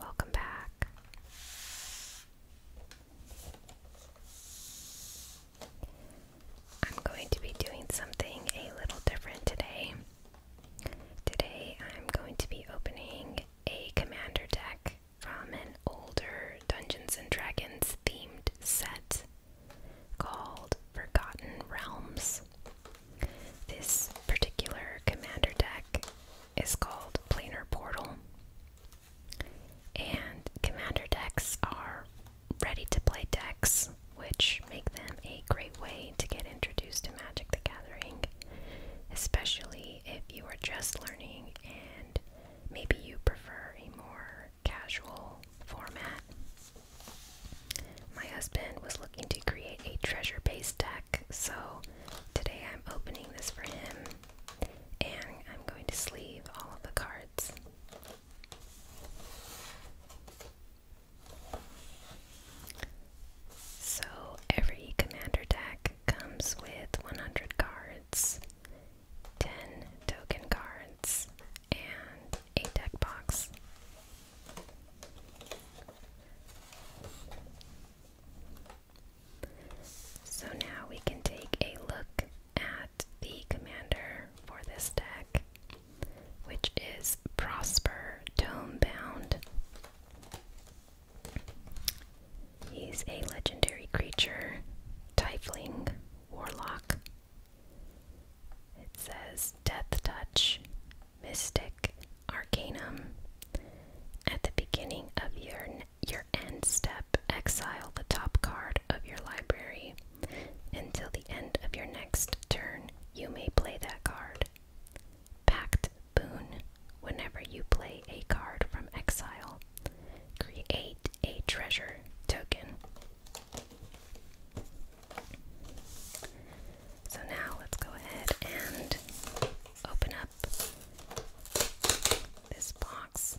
Welcome back. I'm going to be doing something a little different today. Today I'm going to be opening a commander deck from an older Dungeons and Dragons themed set called Forgotten Realms. This particular commander deck is called Planar Portal, and commander decks are ready to play decks, which make them a great way to get introduced to Magic the Gathering, especially if you are just learning and maybe you prefer a more casual format. My husband was looking to create a treasure base deck, so today I'm opening this for him and I'm going to sleeve all of the cards. So, every commander deck comes with 100 cards, 10 token cards, and a deck box. So now we can take a look at the commander for this deck, which is Prosper Tomebound. He's a legendary creature, Tiefling Warlock. It says Death Touch, mystic arcanum. At the beginning of your your end step, exile the top card of your library. Until the end of your next turn, you may play that card. Pact boon. Whenever you play a card from exile, create a treasure token. So now let's go ahead and open up this box.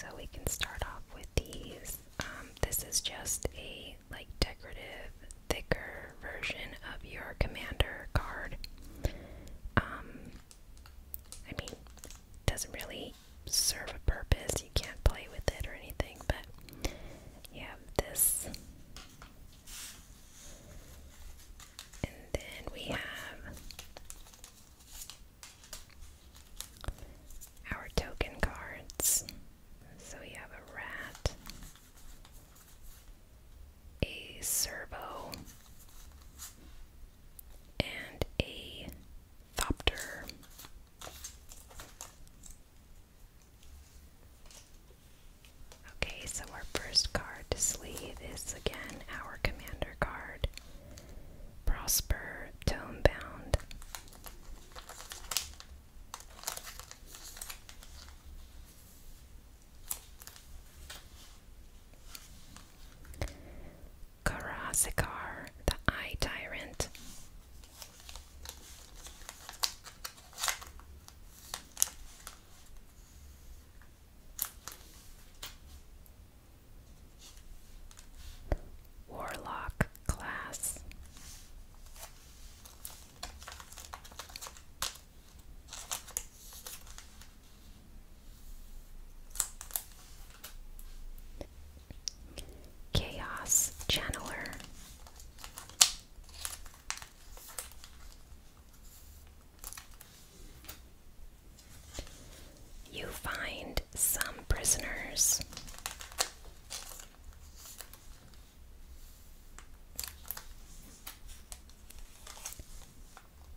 So we can start off with these. Um, this is just a like decorative, thicker version of your commander card. Um, I mean, doesn't really serve a purpose. You can't play with it or anything, but you this. And then we have our token cards. So we have a rat, a servo, and a thopter. Okay, so our first card to sleeve is again our commander card. Prosper Tomebound. Karazikar, the Eye Tyrant. Warlock class. Chaos Channeler. You find some prisoners.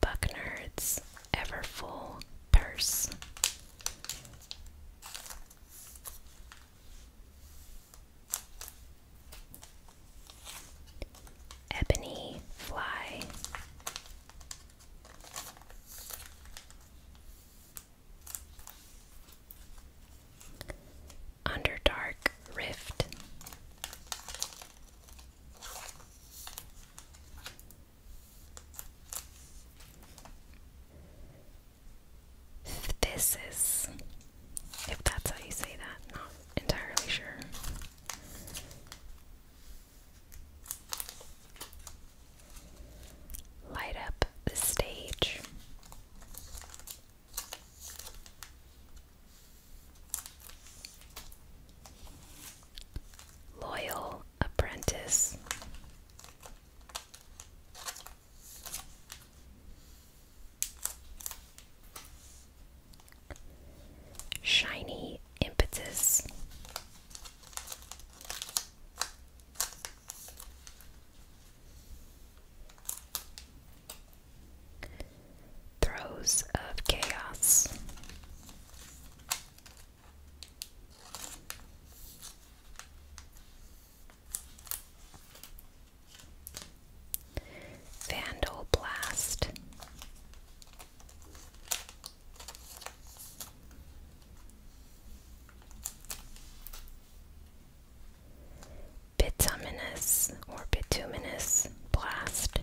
Bucknard's ever full purse. Ebony fly. Under dark Rift. This if that's how you say that, not entirely sure light up the stage. Loyal apprentice. Shiny impetus. Throes of Chaos. Vandal Blast. Bituminous or bituminous blast.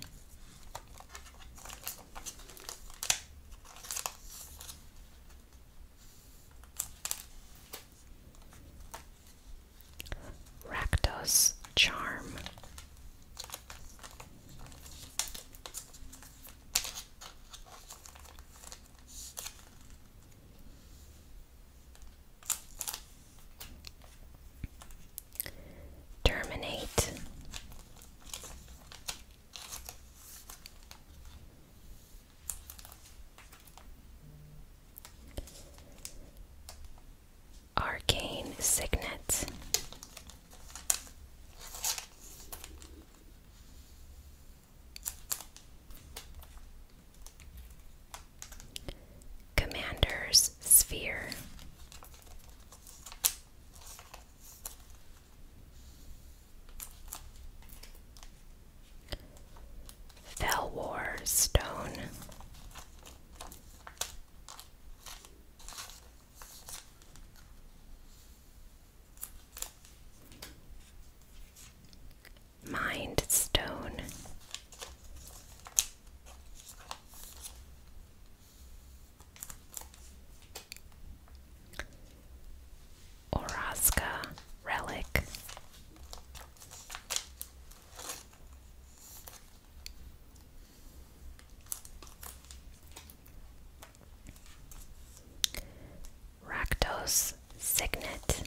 Rakdos Charm. Terminate. Arcane Signet. Commander's Sphere. Felwar Stone. Mind Stone. Orozca Relic. Rakdos Signet.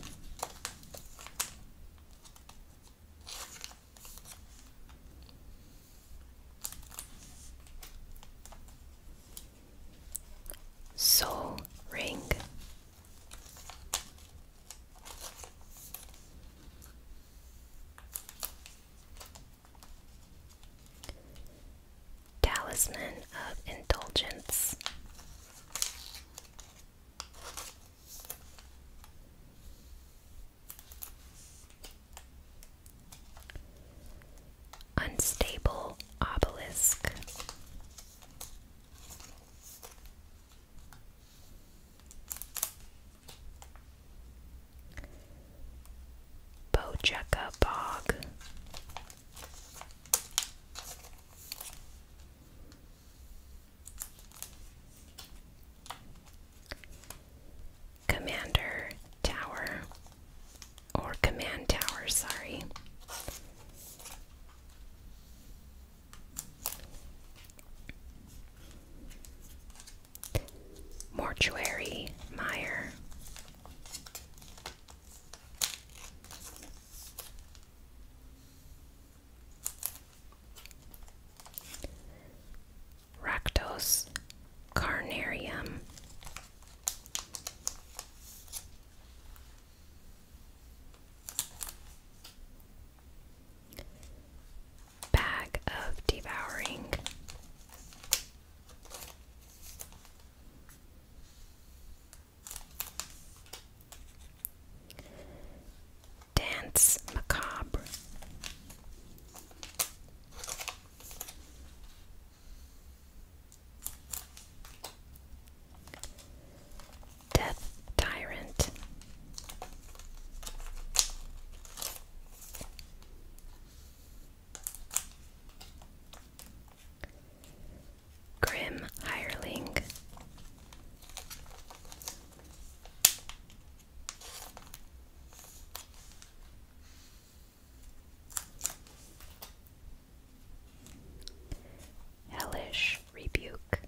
Soul Ring. Talisman of Indulgence. Unstable Obelisk. bojaka Bog. Commander Tower, or Command Tower, sorry. Mortuary Mire, Ractos carnarium. Bag of Devouring Dance Macabre. Death Tyrant. Grim Hireling. Hellish Rebuke.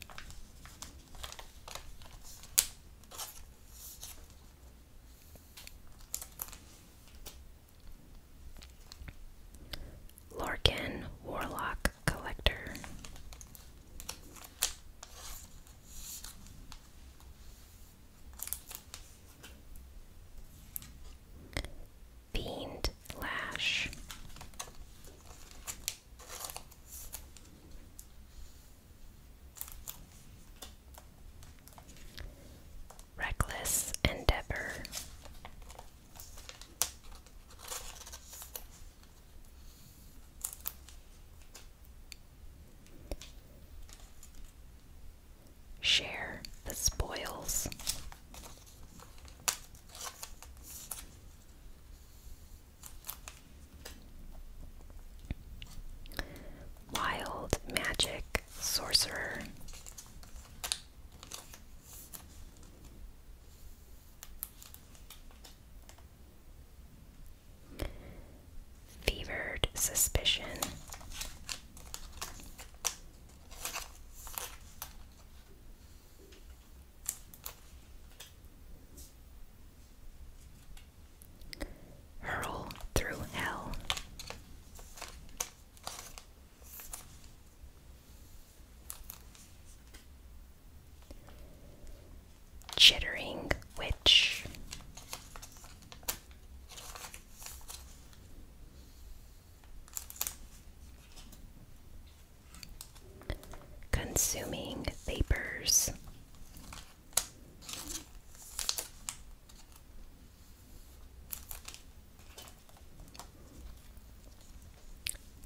Larkin, Warlock, Collector. Fiend Lash Reckless endeavor. Share the spoils wild magic sorcerer. Fevered suspicion hurl through hell. Chittering Witch. Consuming vapors,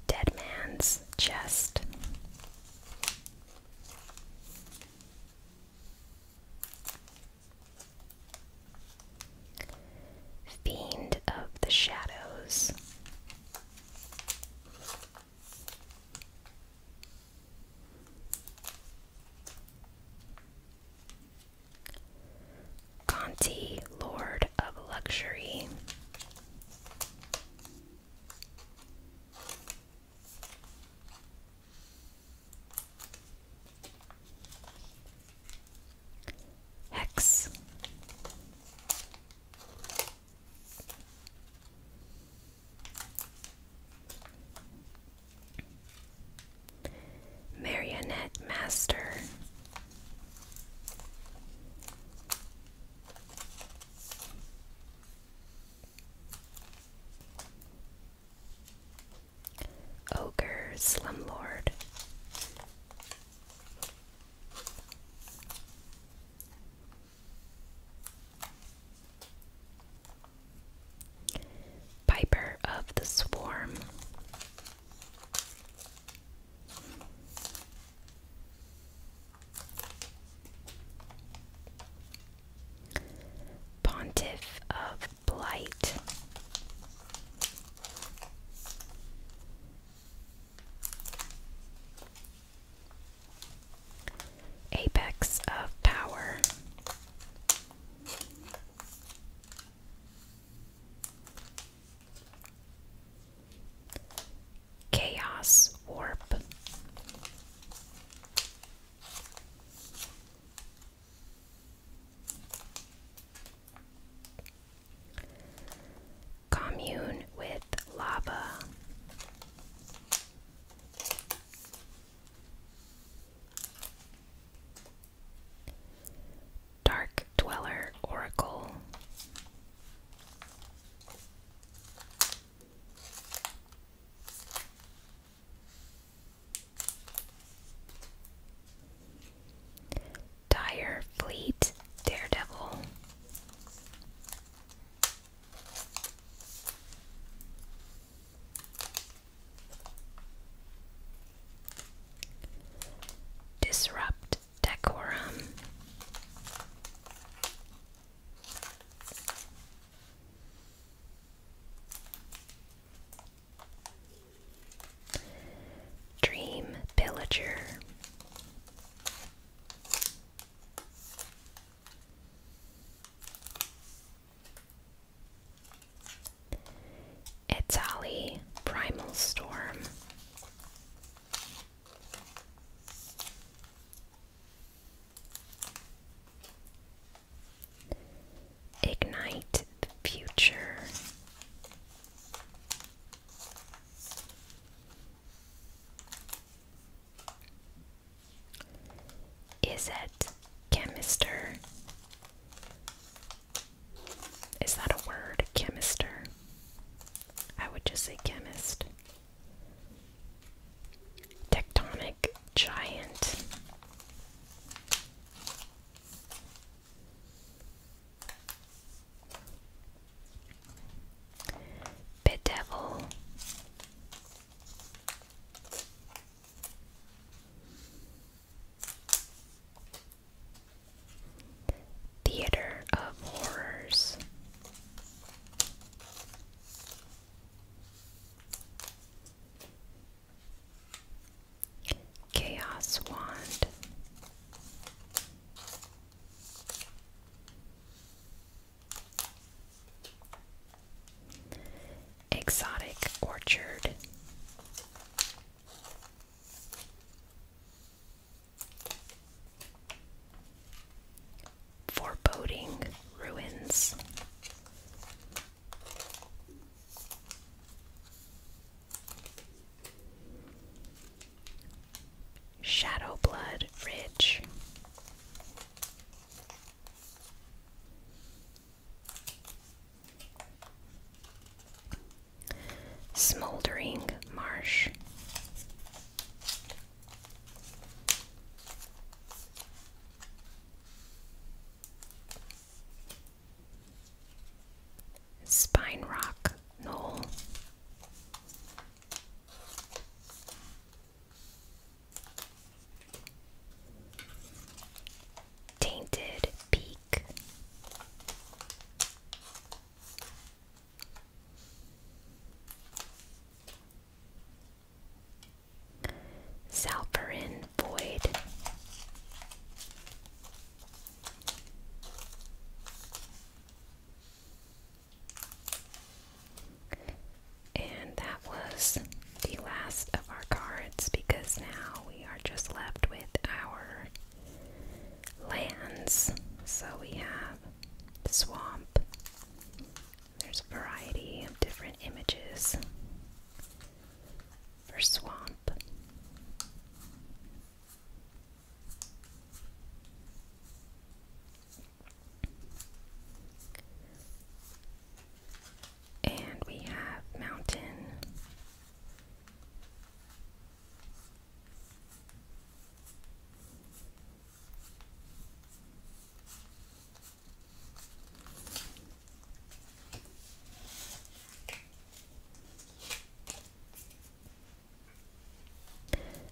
Dead Man's Chest. Fiend of the Shadows. Conti, Lord of Luxury. Hex. Marionette Master. Ogre Slumlord. Piper of the Swarm. Pontiff of Blight. Apex of Power. Chaos Warp. Commune with lava. Dark Dweller Oracle. Dire Fleet Daredevil. Disrupt decorum. Dream Pillager. Itali Primal Storm. Ignite the Future. Is it chemister? Is that a word? Chemister? I would just say chemist. Tectonic giant. Bedevil. Theater of Horrors. Chaos Wand. Exotic Orchard. Foreboding Ruins. Shadow Blood Ridge Smoldering Marsh. Spine Rock Knoll. Tainted Peak. Salperin Void. And that was the last of our cards because now we are just left with our lands. So we have swamp. There's a variety of different images for swamp. And we have mountain.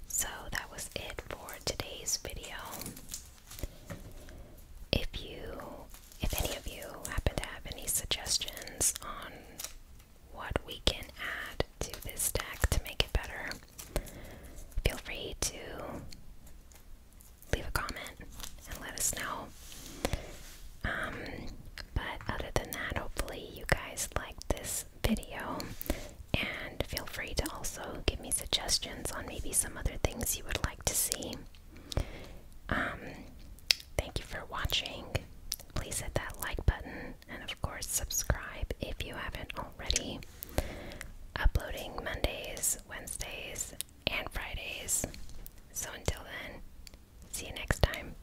So that was it for today's video. If you, if any of you happen to have any suggestions on what we can add to this deck to make it better, feel free to leave a comment and let us know. Um, but other than that, hopefully you guys liked this video. And feel free to also give me suggestions on maybe some other things you would like to see. Um, thank you for watching. Please hit that like button and, of course, subscribe if you haven't already. Uploading Mondays, Wednesdays, and Fridays. So until then, see you next time.